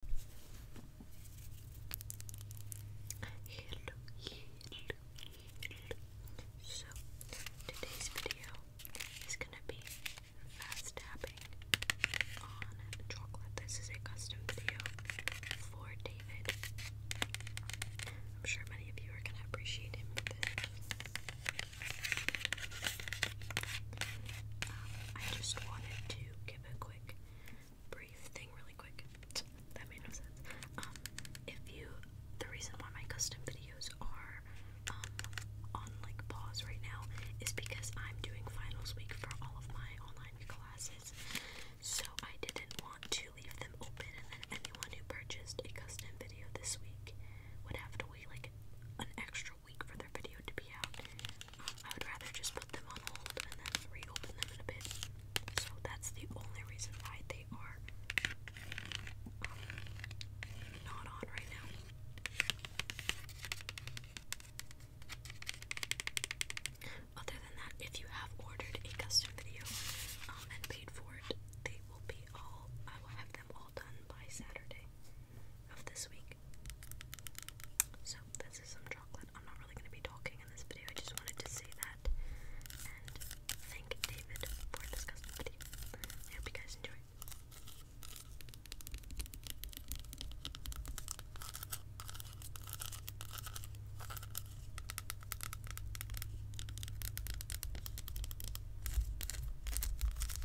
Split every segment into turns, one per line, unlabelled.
Hello, hello, hello. So, today's video is going to be fast tapping on chocolate. This is a custom video for David. I'm sure many of you are going to appreciate him with this. Um, I just wanted to give a quick brief thing really quick. That made no sense. Um, if you, the reason why my custom videos are um, on like pause right now is because I'm doing finals week for all of my online classes. So I didn't want to leave them open, and then anyone who purchased a custom video this week would have to wait like an extra week for their video to be out. Um, I would rather just put them on hold and then reopen them in a bit. So that's the only reason why they are um, not on right now. Other than that, if you have ordered a custom video um, and paid for it, they will be all, I will have them all done by Saturday of this week. So, this is some chocolate. I'm not really going to be talking in this video, I just wanted to say that and thank David for this custom video. I hope you guys enjoy.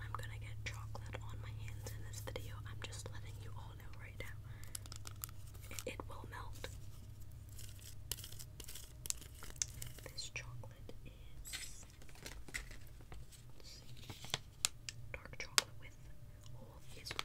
I'm gonna get chocolate on my hands in this video. I'm just letting you all know right now. It, will melt. This chocolate is Dark chocolate with all his nuts.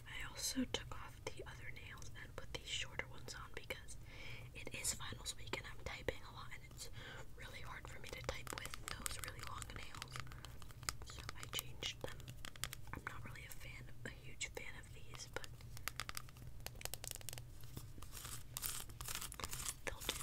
I also took off the other nails and put these shorter ones on because it is finals week and I'm typing a lot and it's really hard for me to type with those really long nails. So I changed them. I'm not really a fan, a huge fan of these, but they'll do.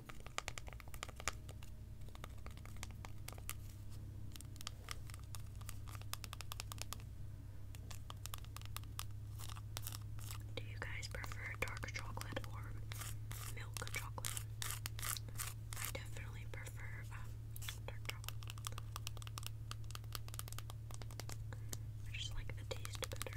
do you guys prefer dark chocolate or milk chocolate? I definitely prefer um, dark chocolate. I just like the taste better.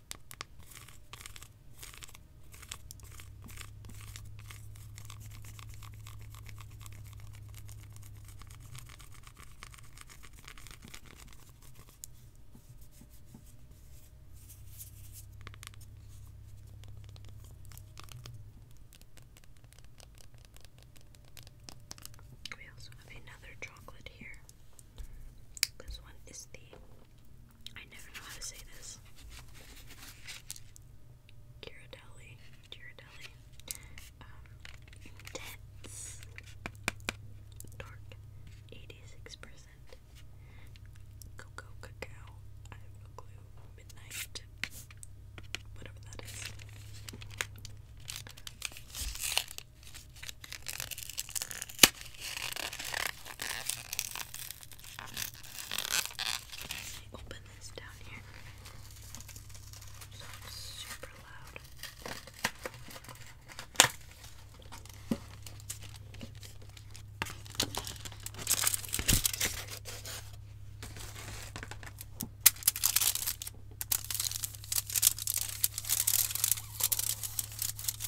We also have another chocolate here. This one is the I never know how to say this. Ghirardelli, Ghirardelli, um, intense, dark, 86%, cocoa, cacao, I have midnight, whatever that is. Open this down here. So it's super loud. Cool.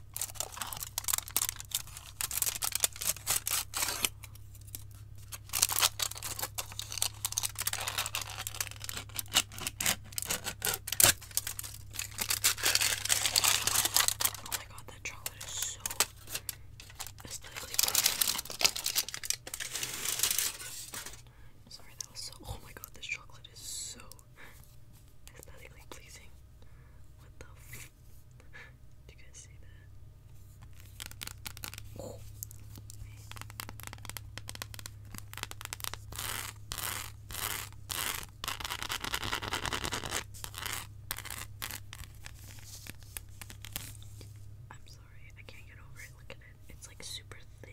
Oh my god, that chocolate is so aesthetically pleasing. Sorry, that was so. Oh my god, this chocolate is so aesthetically pleasing. What the do you guys see that? I'm sorry, I can't get over it. Look at it. It's like super thin.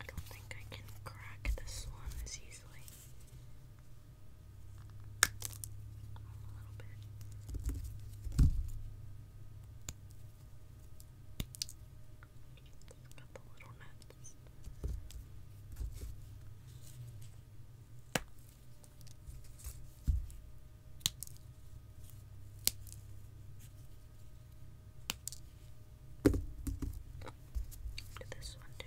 I don't think I can crack this one as easily. A little bit. Just the little nuts. Do this one too.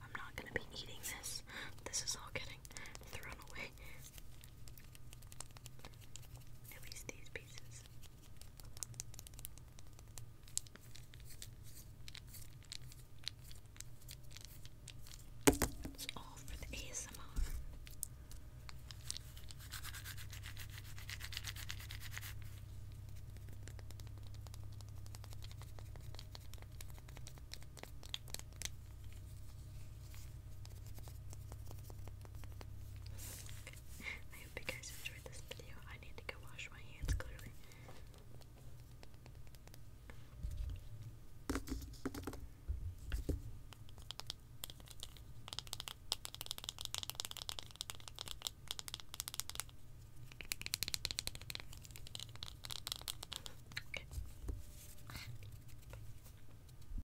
I'm not going to be eating this. This is all getting thrown away. At least these pieces. It's all for the ASMR. I hope you guys enjoyed this video. I need to go wash my hands clearly.